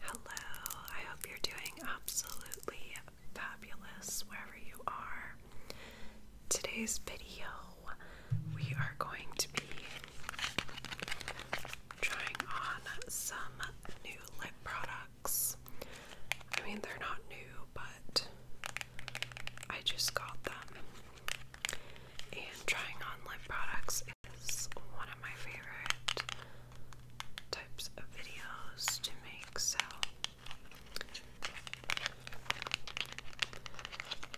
Hello, I hope you're doing absolutely fabulous wherever you are. Today's video, we are going to be trying on some new lip products. I mean, they're not new, but I just got them. And trying on lip products is one of my favorite types of videos to make, so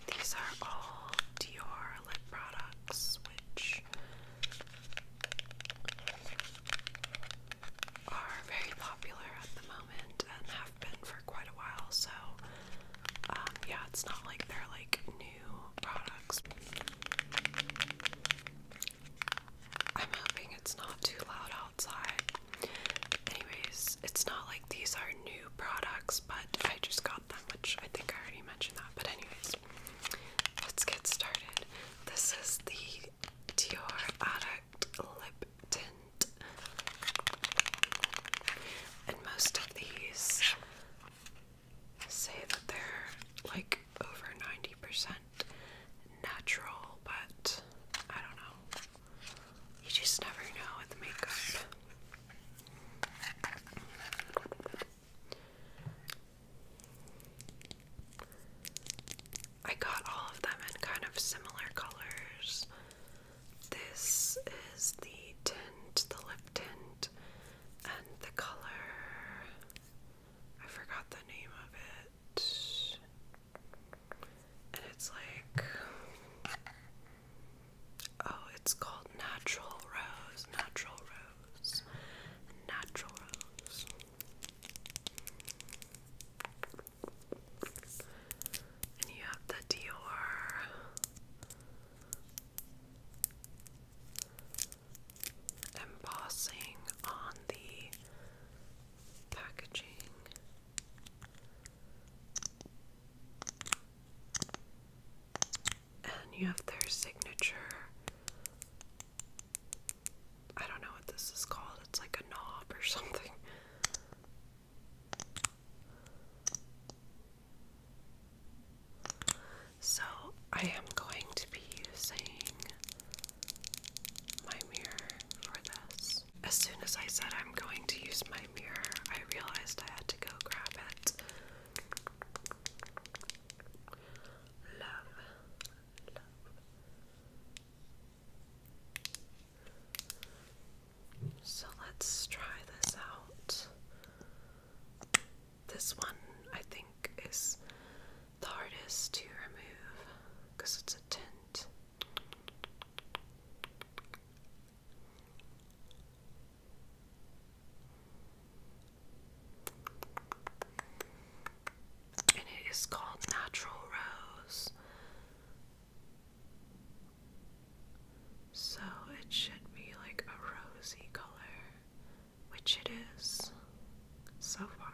these are all Dior lip products, which are very popular at the moment and have been for quite a while, so um, yeah, it's not like they're like new products. I'm hoping it's not too loud outside. Anyways, it's not like these are new products, but I just got them, which I think I already mentioned that. But, anyways, let's get started. This is the Dior Addict Lip Tint and most of these say that they're like over 90% natural, but I don't know. You just never know with makeup. I got all of them in kind of similar colors. This is the tint, the lip tint, and the color. I forgot the name of it. And it's like. Oh, it's called Natural Rose. Natural Rose. Natural Rose. And you have the Dior. Embossing on the packaging. And you have their signature. I don't know what this is called, it's like a knob or something. So, I am going to be using my mirror for this. As soon as I said I'm going to use my mirror, I realized I had to go grab it. Love, so let's try this out. This one I think is the hardest to remove because it's a tint. And it is called Natural Rose. So it should be like a rosy color, which it is so far.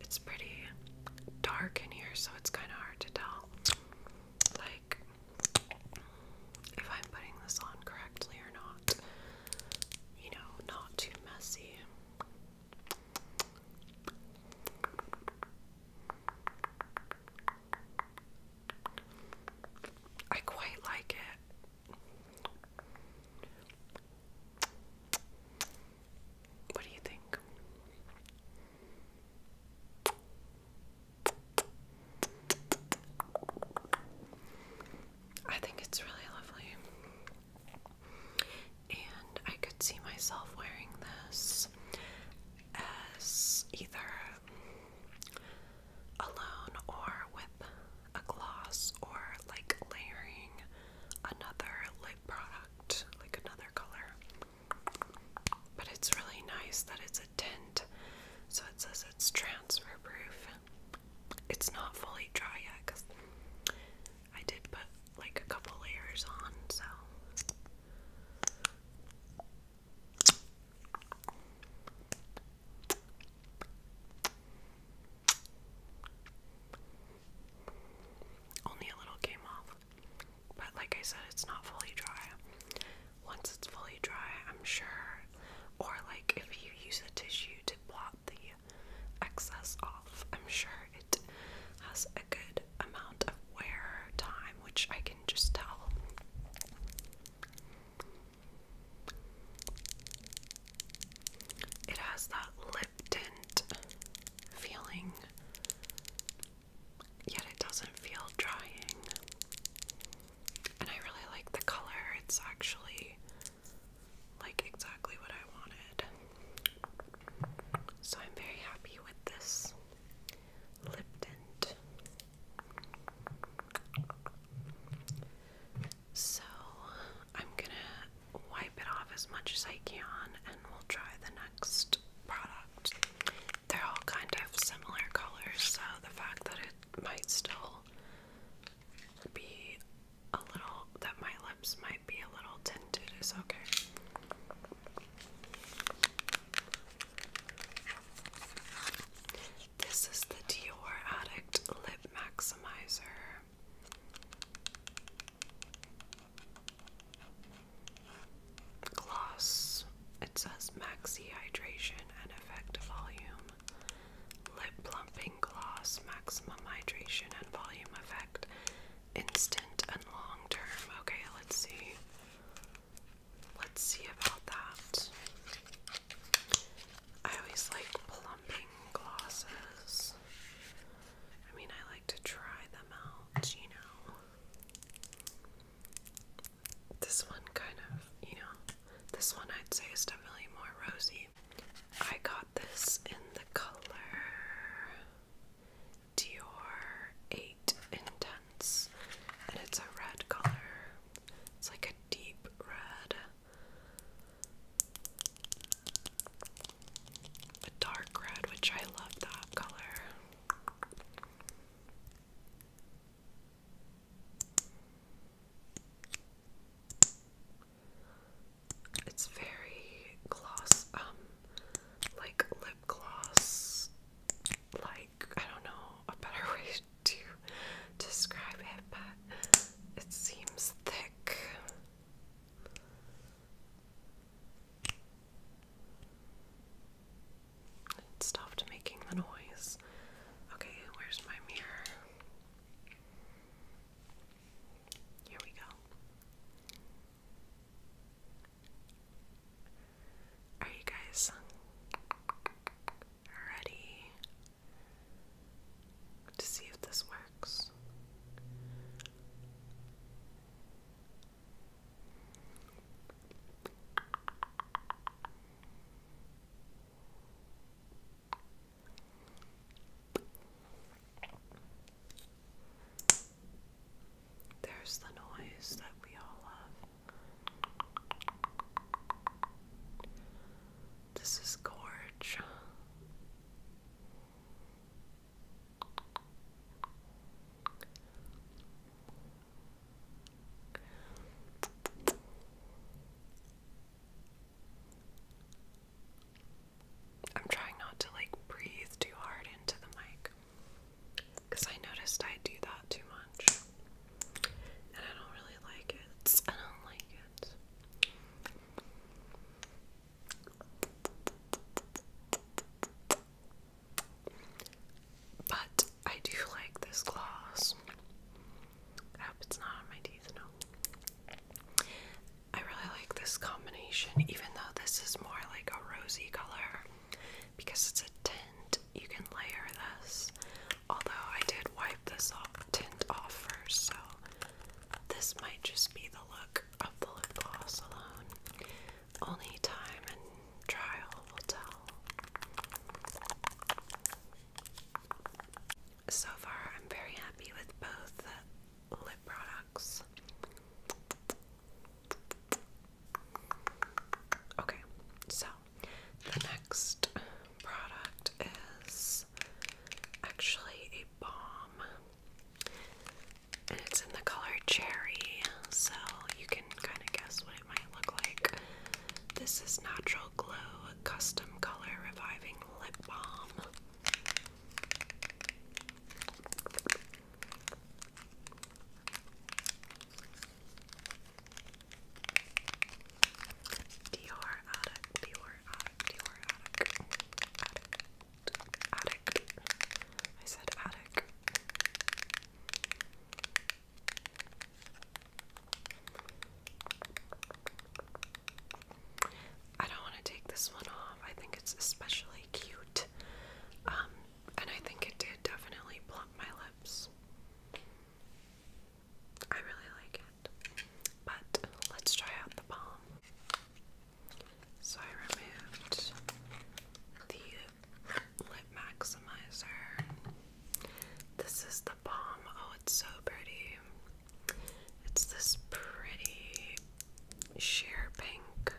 It's pretty dark in here, so it's kind of hard to tell. Like, if I'm putting this on correctly or not. You know, not too messy. I quite like it. What do you think? I think it's really lovely. And I could see myself wearing this as either alone or with a gloss or like layering another lip product, like another color. But it's really nice that it's a tint, so it says it's transfer proof. It's not fully dry yet because I did put like a couple layers on, so. Only a little came off, but like I said, it's not fully dry. Once it's fully dry, I'm sure, or like if you use a tissue to blot the excess off, I'm sure it has a good amount of wear time, which I can just tell. It has that lip tint feeling, yet it doesn't feel drying. And I really like the color, it's actually like exactly what I wanted. So I'm very happy with this lip tint. So I'm gonna wipe it off as much as I can and we'll try the next product. They're all kind of similar colors, so the fact that it might still be a little, that my lips might be a little tinted is okay. This is the Dior Addict Lip Maximizer. Gloss. It says Maxi Hydration and Effect Volume. Lip Plumping Gloss, Maximum Hydration and Volume Effect. Instant and long term. Okay, let's see. Let's see about that. I always like plumping glosses. I mean, I like to try them out, you know. This one kind of, you know, this one I'd say is definitely more rosy. I got this in the color Dior 8 Intense, and it's a red color. It's like a deep red, a dark red, which I love that color. It's very gloss, um, like lip gloss, like I don't know a better way to describe it, but it seems thick. It stopped making the noise. Okay, where's my mirror? Here we go. Are you guys ready to see if this works? There's the noise that we all love. This is gorge. I'm trying not to like breathe too hard into the mic. Because I noticed I do that too much. And I don't really like it. I don't like it. But I do like this gloss. I hope it's not on my teeth, no. I really like this combination, even though this is more like a rosy color because it's a tint, you can layer this. Although I did wipe this tint off first, so this might just be the look of the lip gloss alone. Only time and trial will tell. So far, I'm very happy with both lip products. Okay, so the next product is actually a balm, and it's in the color cherry, so you can kind of guess what it might look like. This is Natural Glow Custom Color Reviving Lip Balm. Dior Attic, Dior Attic, Dior Attic, Attic, Attic. I said Attic. I don't want to take this one off. I think it's especially cute. Um, and I think it did definitely plump my lips. I really like it. But let's try out the balm. So I removed the lip maximizer. This is the balm. Oh, it's so pretty. It's this pretty sheer pink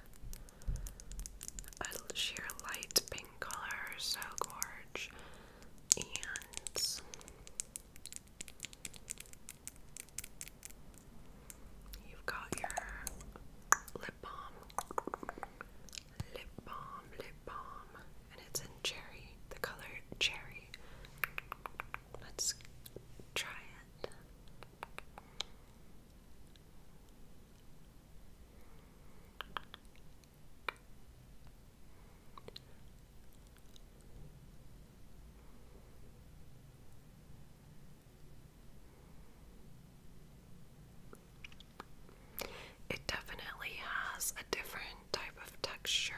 a sheer light pink color, so gorge. And you've got your lip balm, lip balm, lip balm, and it's in cherry, the color cherry. Let's try it. It definitely has a different type of texture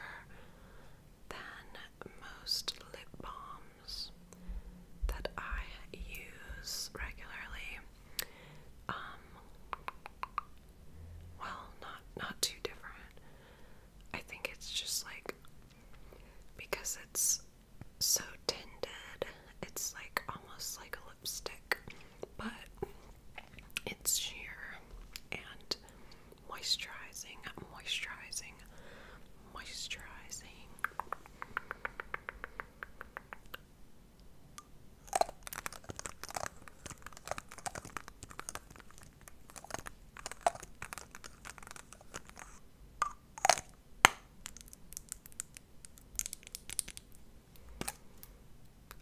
than most lip balms that I use regularly. Um, well, not not too different. I think it's just like because it's so tinted, it's like almost like a lipstick, but it's sheer and moisturizing, moisturizing, moisturizing.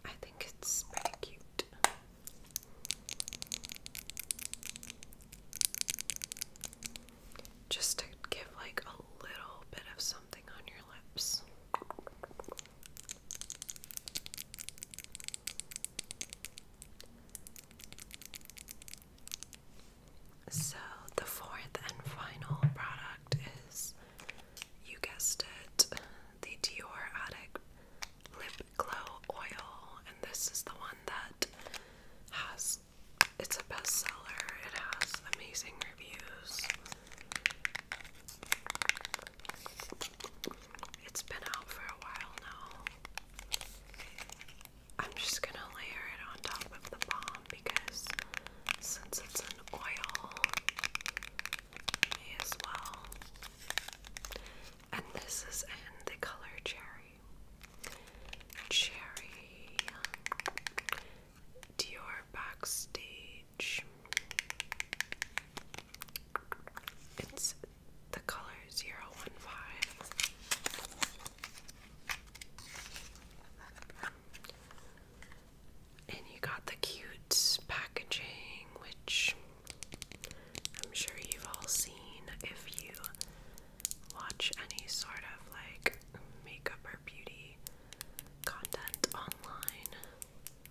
I think it's pretty cute. Just to give like a little bit of something so, the fourth and final product is, you guessed it, the Dior Attic Lip Glow Oil. And this is the one that has it's a bestseller. It has amazing reviews. It's been out for a while now. I'm just gonna layer it on top of the balm because since it's an oil, as well. And this is in the color cherry. Cherry. Dior Backstage. It's the color 015. And you got the cute packaging, which I'm sure you've all seen if you watch any sort of like makeup or beauty content online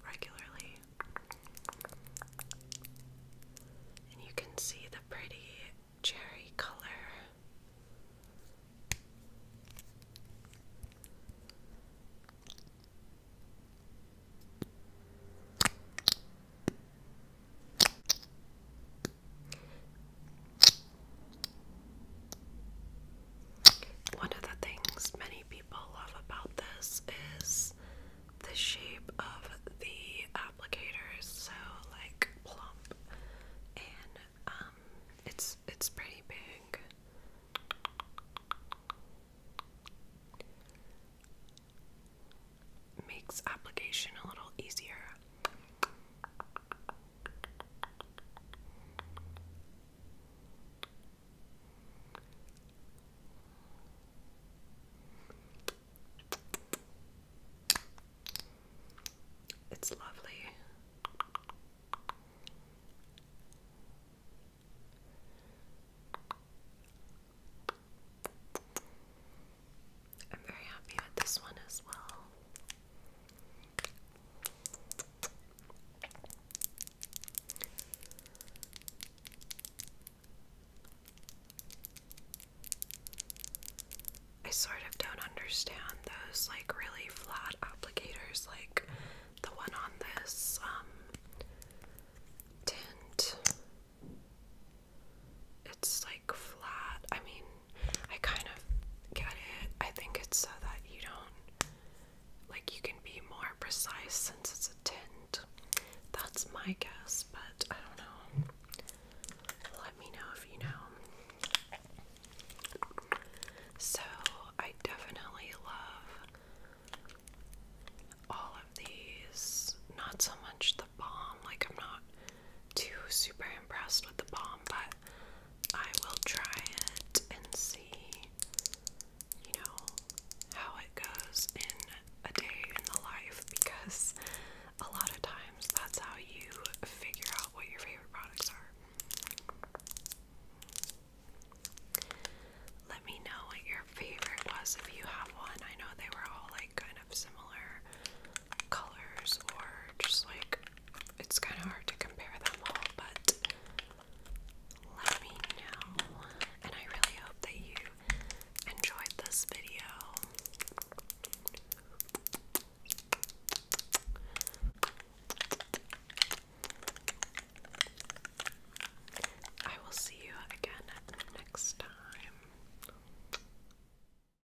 regularly. And you can see the pretty cherry color. One of the things many people love about this is the shape of the applicators, so like plump, and um, it's it's pretty big. Makes application a little easier. It's lovely. I'm very happy with this one as well. I sort of don't understand those like really flat applicators like the one on this um tint. It's like flat. I mean, I kind of get it. I think it's so that you don't like you can be more precise since it's a tint. That's my guess, but I don't know. Let me know if you know. So, I definitely love all of these. Not so much the balm, like, I'm not too super impressed with the balm, but I will try it and see, you know, how it goes in a day in the life because a lot of times that's how you figure out what your favorite products are. Let me know what your favorite was if you have one. I know they were all like kind of similar colors or just like it's kind of hard to compare them all, but let me know. And I really hope that you enjoyed this video. I will see you again next time.